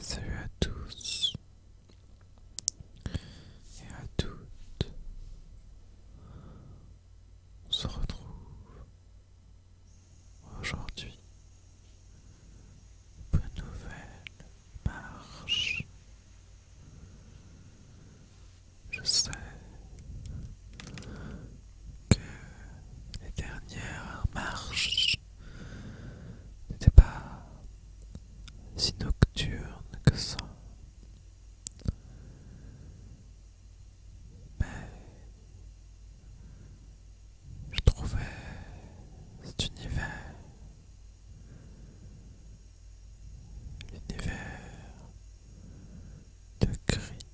Salut à tous et à toutes. On se retrouve aujourd'hui pour une nouvelle marche je sais que les dernières marches n'étaient pas si nocturnes que ça. Mais je trouvais cet univers L'univers de gris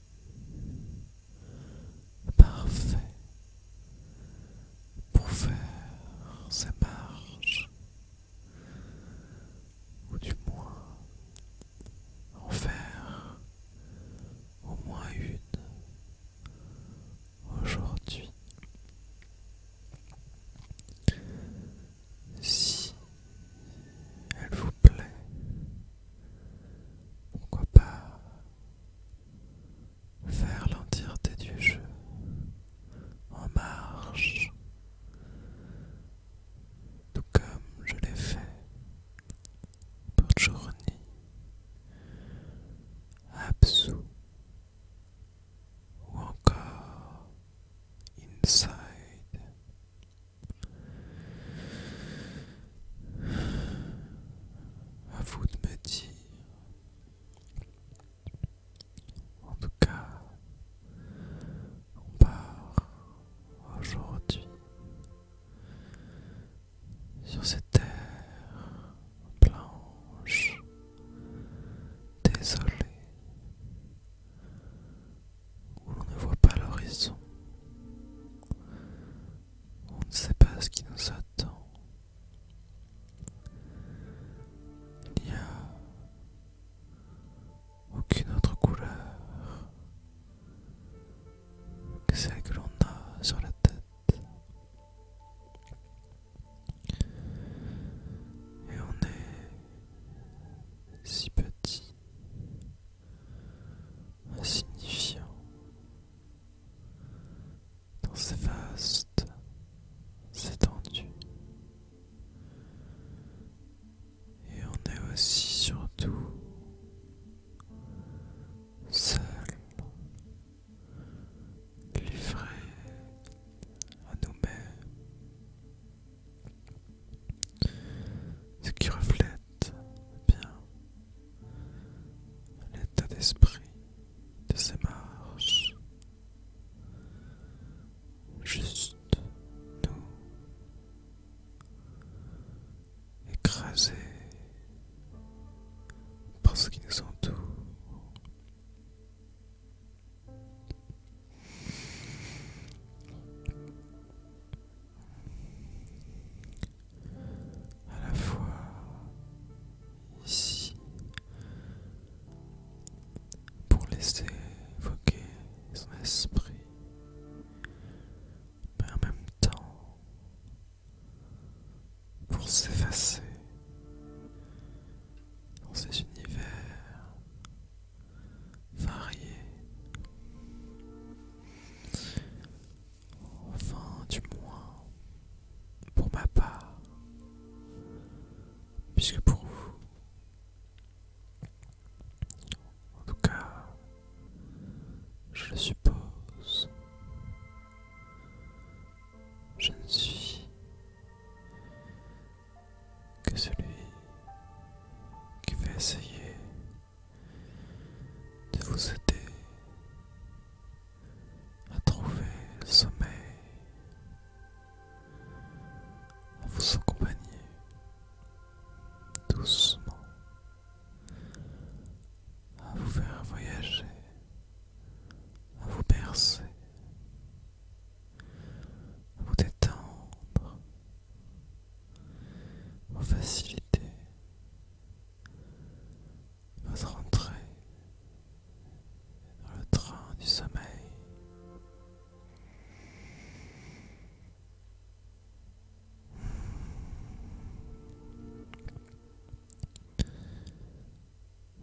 parfait pour faire sa marche, ou du moins en faire au moins une aujourd'hui si elle vous plaît, pourquoi pas faire l'entièreté du jeu en marche, tout comme je l'ai fait pour journée, Absou ou encore inside. À vous de me dire. En tout cas, on part aujourd'hui sur cette terre blanche, désolée, où on ne voit pas l'horizon, on ne sait pas ce qui nous attend. Il n'y a aucune autre couleur que celle que l'on a sur la tête. Et on est si petit, insignifiant, dans ces vastes étendues. Et on est aussi surtout seul, livré à nous-mêmes ce qui reflète bien l'état d'esprit de ces marches. Juste nous écrasés par ce qui nous entoure à la fois ici pour laisser évoquer son esprit, mais en même temps pour s'effacer dans ces univers Varier, Enfin, du moins, pour ma part, puisque pour vous, en tout cas, je le suppose, je ne suis que celui qui va essayer de vous aider à trouver le sommeil, à vous accompagner doucement, à vous faire voyager, à vous bercer vous détendre, vous faciliter votre entrée dans le train du sommeil.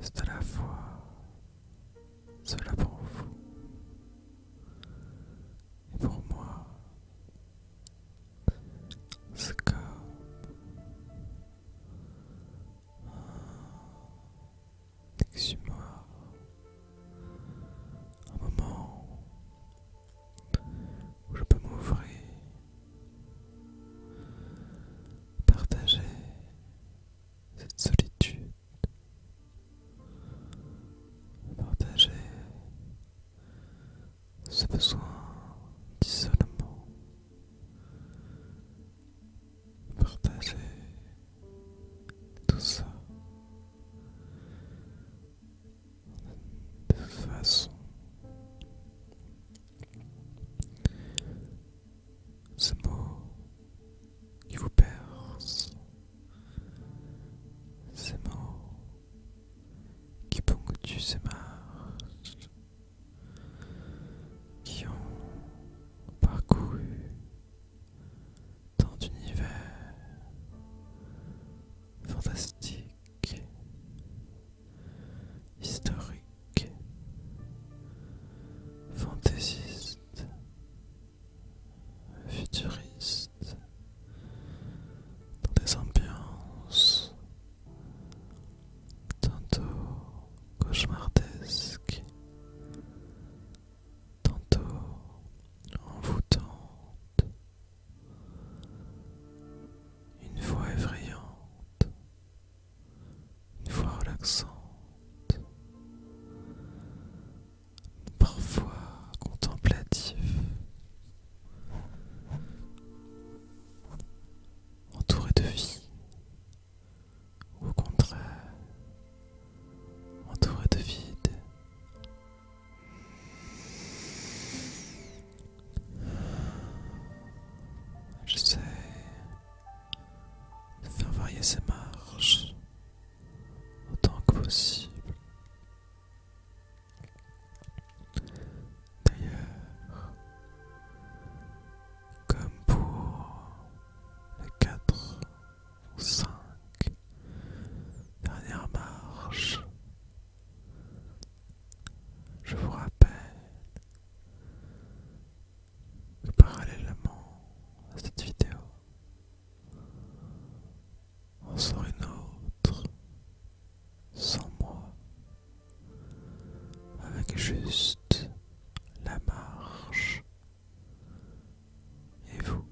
C'est à la fois cela pour vous et pour moi, ce cas, un un moment où je peux m'ouvrir, partager cette solitude partager ce besoin d'isolement, partager tout ça de façon ce mot qui vous perce, ces mots qui ponctuent ces marches, qui ont parcouru tant d'univers fantastique, historique, fantaisiste futuriste dans des ambiances tantôt cauchemardesques, tantôt envoûtantes, une voix effrayante, une voix relaxante parfois contemplatif, entouré de vie, ou au contraire, entouré de vide. J'essaie de faire varier ces marches autant que possible. D'ailleurs, comme pour les 4 ou 5 dernières marches, je vous rappelle que parallèlement à cette vidéo, en sort une autre sans moi, avec juste la marche et vous.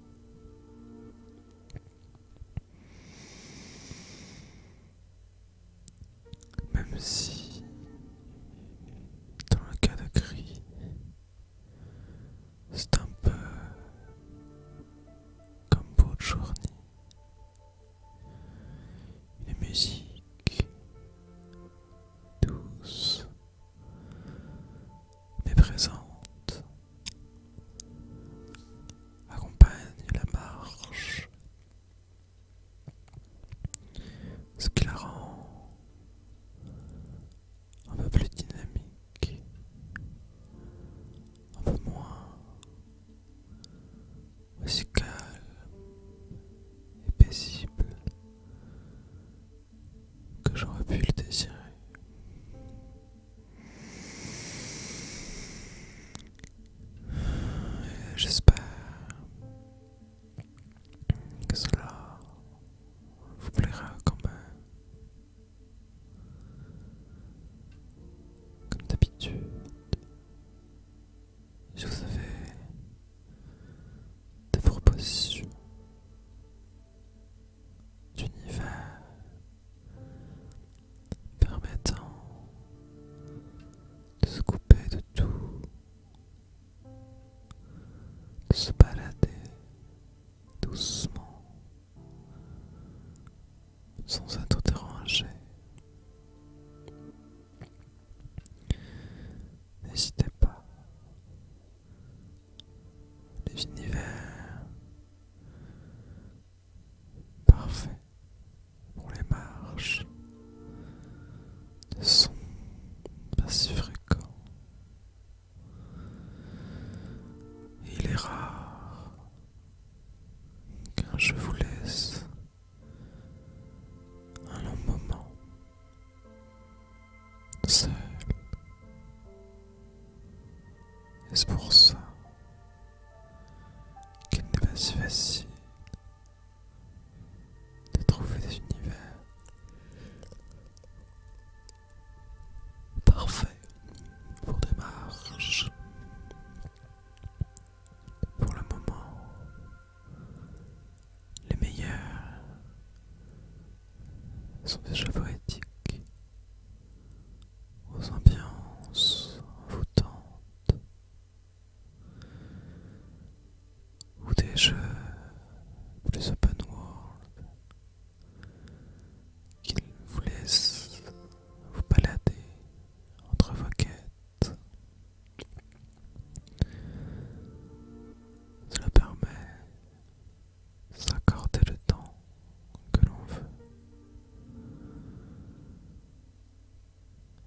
Même si, dans le cas de cri, c'est un peu comme pour journée. Une musique douce mais présente accompagne la marche, ce qui la rend un peu plus dynamique, un peu moins aussi calme et paisible que j'aurais pu le désirer. J'espère que cela vous plaira quand même. Euh, comme d'habitude, je vous avais des propositions d'univers permettant de se couper de tout, de se balader doucement, sans être dérangé. N'hésitez pas, les univers parfaits pour les marches, de sont pas si fréquents. Il est rare qu'un je vous laisse un long moment seul. est pour ça qu'il n'est pas si facile de trouver des univers Parfait pour des marches. Pour le moment, les meilleurs sont jeux poétiques, aux ambiances envoûtantes, ou des jeux plus open world qu'il vous laisse vous balader entre vos quêtes. Cela permet de s'accorder le temps que l'on veut.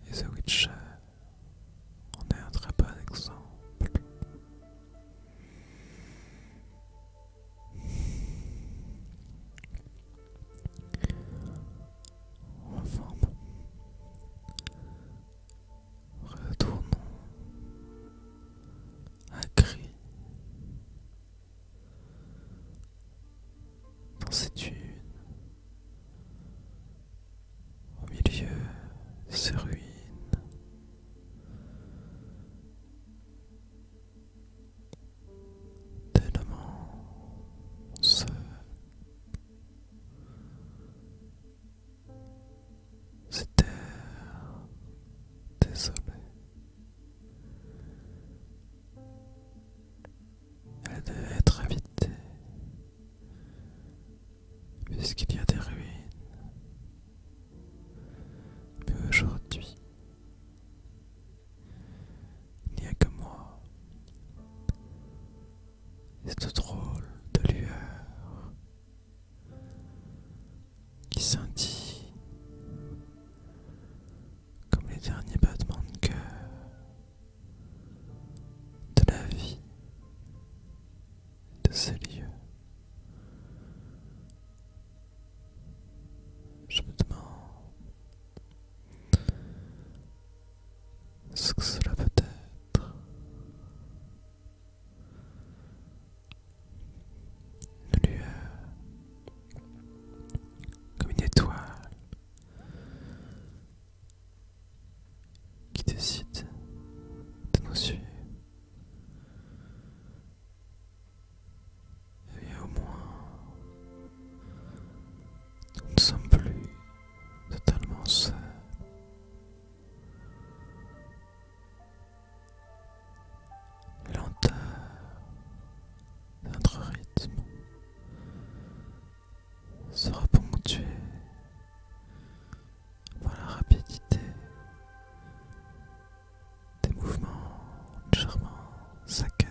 Et The Witcher en est un très bon exemple. Enfin, Retournons à gris dans cette une, au milieu de ces ruines, tellement seul c'était désolé. Elle devait être invitée, puisqu'il y a des ruines mais aujourd'hui, il n'y a que moi. Cette drôle de lueur qui sentit comme les derniers battements de cœur de la vie de ces lieux. Je me demande ce que cela peut être. Le lueur comme une étoile qui décide de nous suivre et au moins, nous ne sommes plus totalement seuls. La lenteur de notre rythme sera ponctuée par la rapidité des mouvements charmants, saccadés.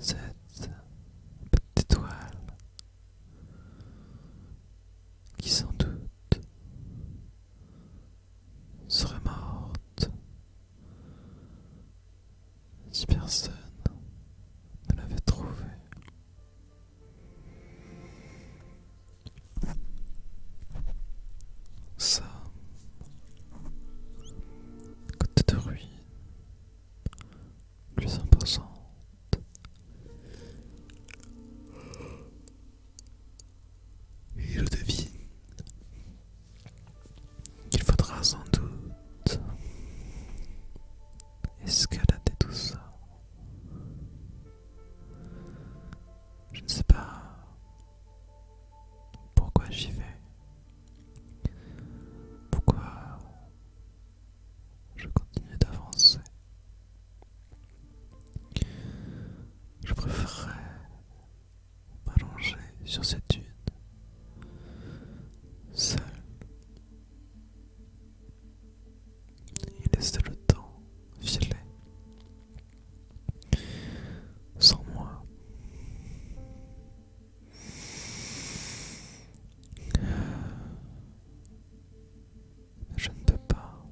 Cette petite étoile qui sans doute serait morte si personne ne l'avait trouvée. Ça, côté de ruine, plus imposante. Et je devine qu'il faudra sans doute escalader tout ça je ne sais pas pourquoi j'y vais. Pourquoi je continue d'avancer. Je préférerais m'allonger sur cette une, seule. Il laisse le temps filer. Sans moi, je ne peux pas.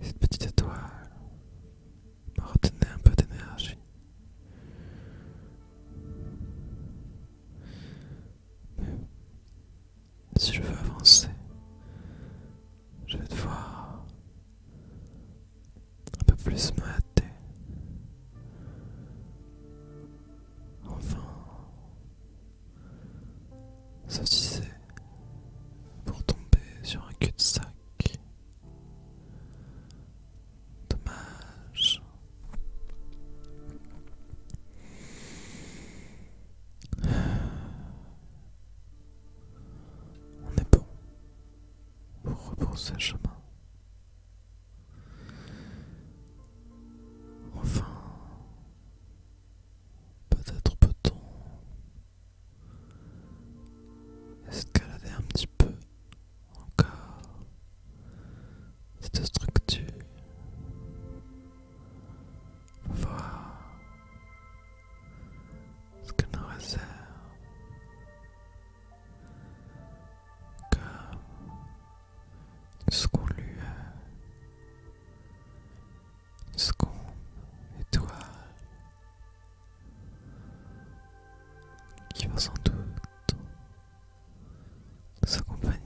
Cette petite étoile m'a retenu un peu d'énergie. Mais si je veux avancer, je vais devoir un peu plus me hâter. Enfin, Ça pour tomber sur un cul-de-sac. Dommage. On est bon pour repousser le chemin. Enfin, peut-être peut-on escalader un petit peu encore cette structure voir ce que nous réserve comme une seconde lueur, une seconde étoile qui va sans doute s'accompagner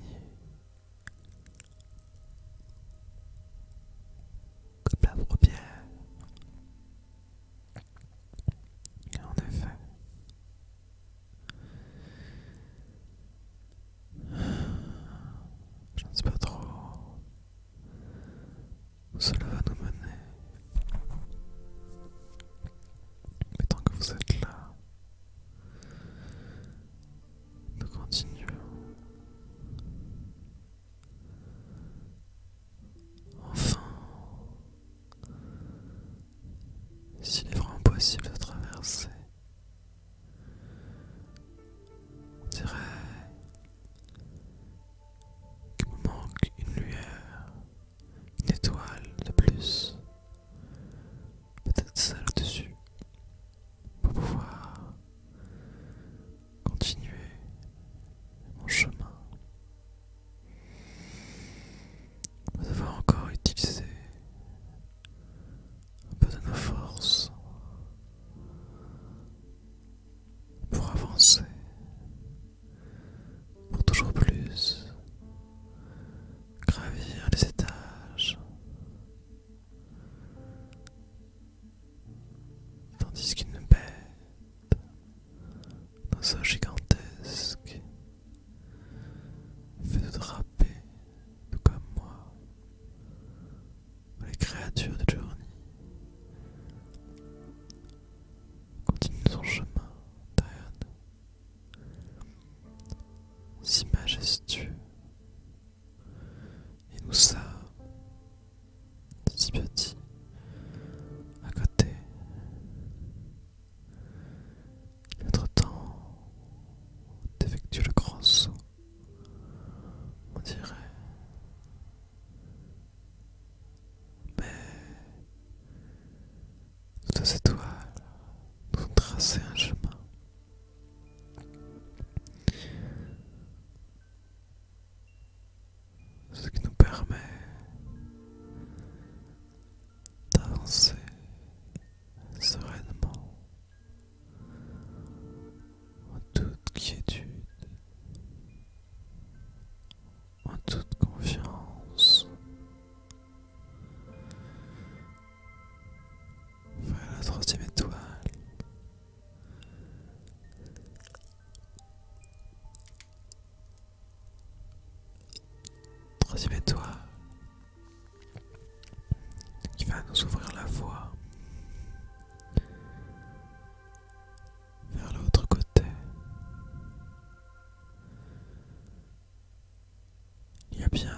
comme la première. En effet. Je ne sais pas trop où cela va nous mener. Mais tant que vous êtes là, nous continuons enfin s'il est vraiment possible de traverser on dirait qu'il me manque une lueur une étoile de plus Peut-être ça là-dessus. Pour pouvoir continuer mon chemin. Nous avons encore utilisé un peu de nos forces pour avancer, pour toujours plus, gravir les étages, tandis qu'une bête Dans un gigantesque fait de draper, tout comme moi, les créatures de Journey continue son chemin derrière si majestueux et nous sommes si petits à côté. Notre temps d'effectuer le grand saut, on dirait. Mais toutes ces étoiles nous ont tracé un chemin ce qui nous permet d'avancer sereinement en toute quiétude, en toute confiance. Voilà la troisième étoile. Troisième étoile qui va nous ouvrir la voie vers l'autre côté. Il y a bien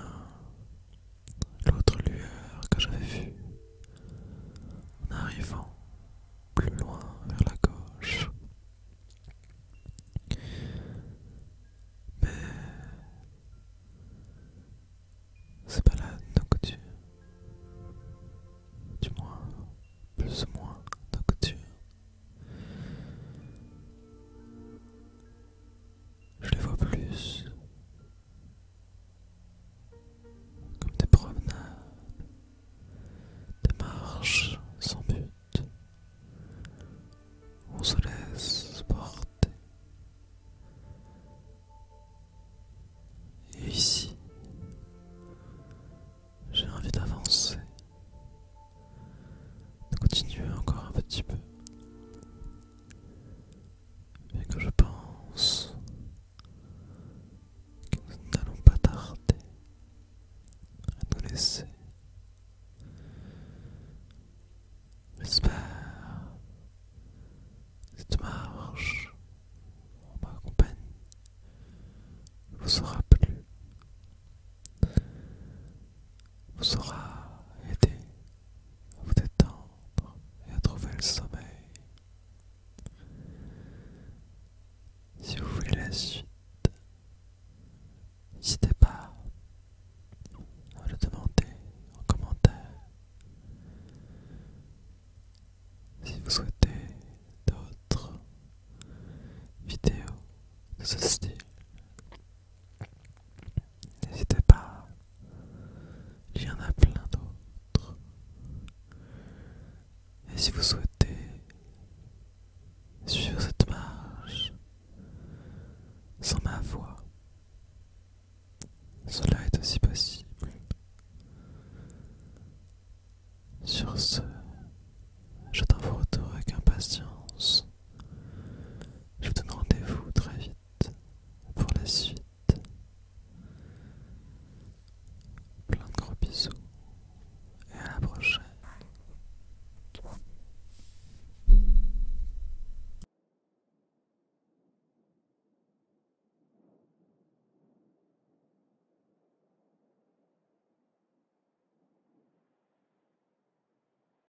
l'autre lueur que j'avais vue en arrivant plus loin vers la gauche. Mais c'est pas la nocturne. du moins plus ou moins nocturne. Je les vois plus comme des promenades, des marches sans but. On se laisse porter. Et ici, j'ai envie d'avancer, de continuer encore un petit peu, et que je pense que nous n'allons pas tarder à nous laisser. J'espère que cette marche en ma vous aura plu, vous sera aidé à vous détendre et à trouver le sommeil. Si vous voulez la suite, n'hésitez pas à le demander en commentaire. Si vous souhaitez d'autres vidéos de ce style, N'hésitez pas, il y en a plein d'autres. Et si vous souhaitez suivre cette marche sans ma voix, cela est aussi possible. Sur ce, j'attends vos retours avec impatience. Je vous donne rendez-vous très vite pour la suite. Plein de gros bisous et à la prochaine.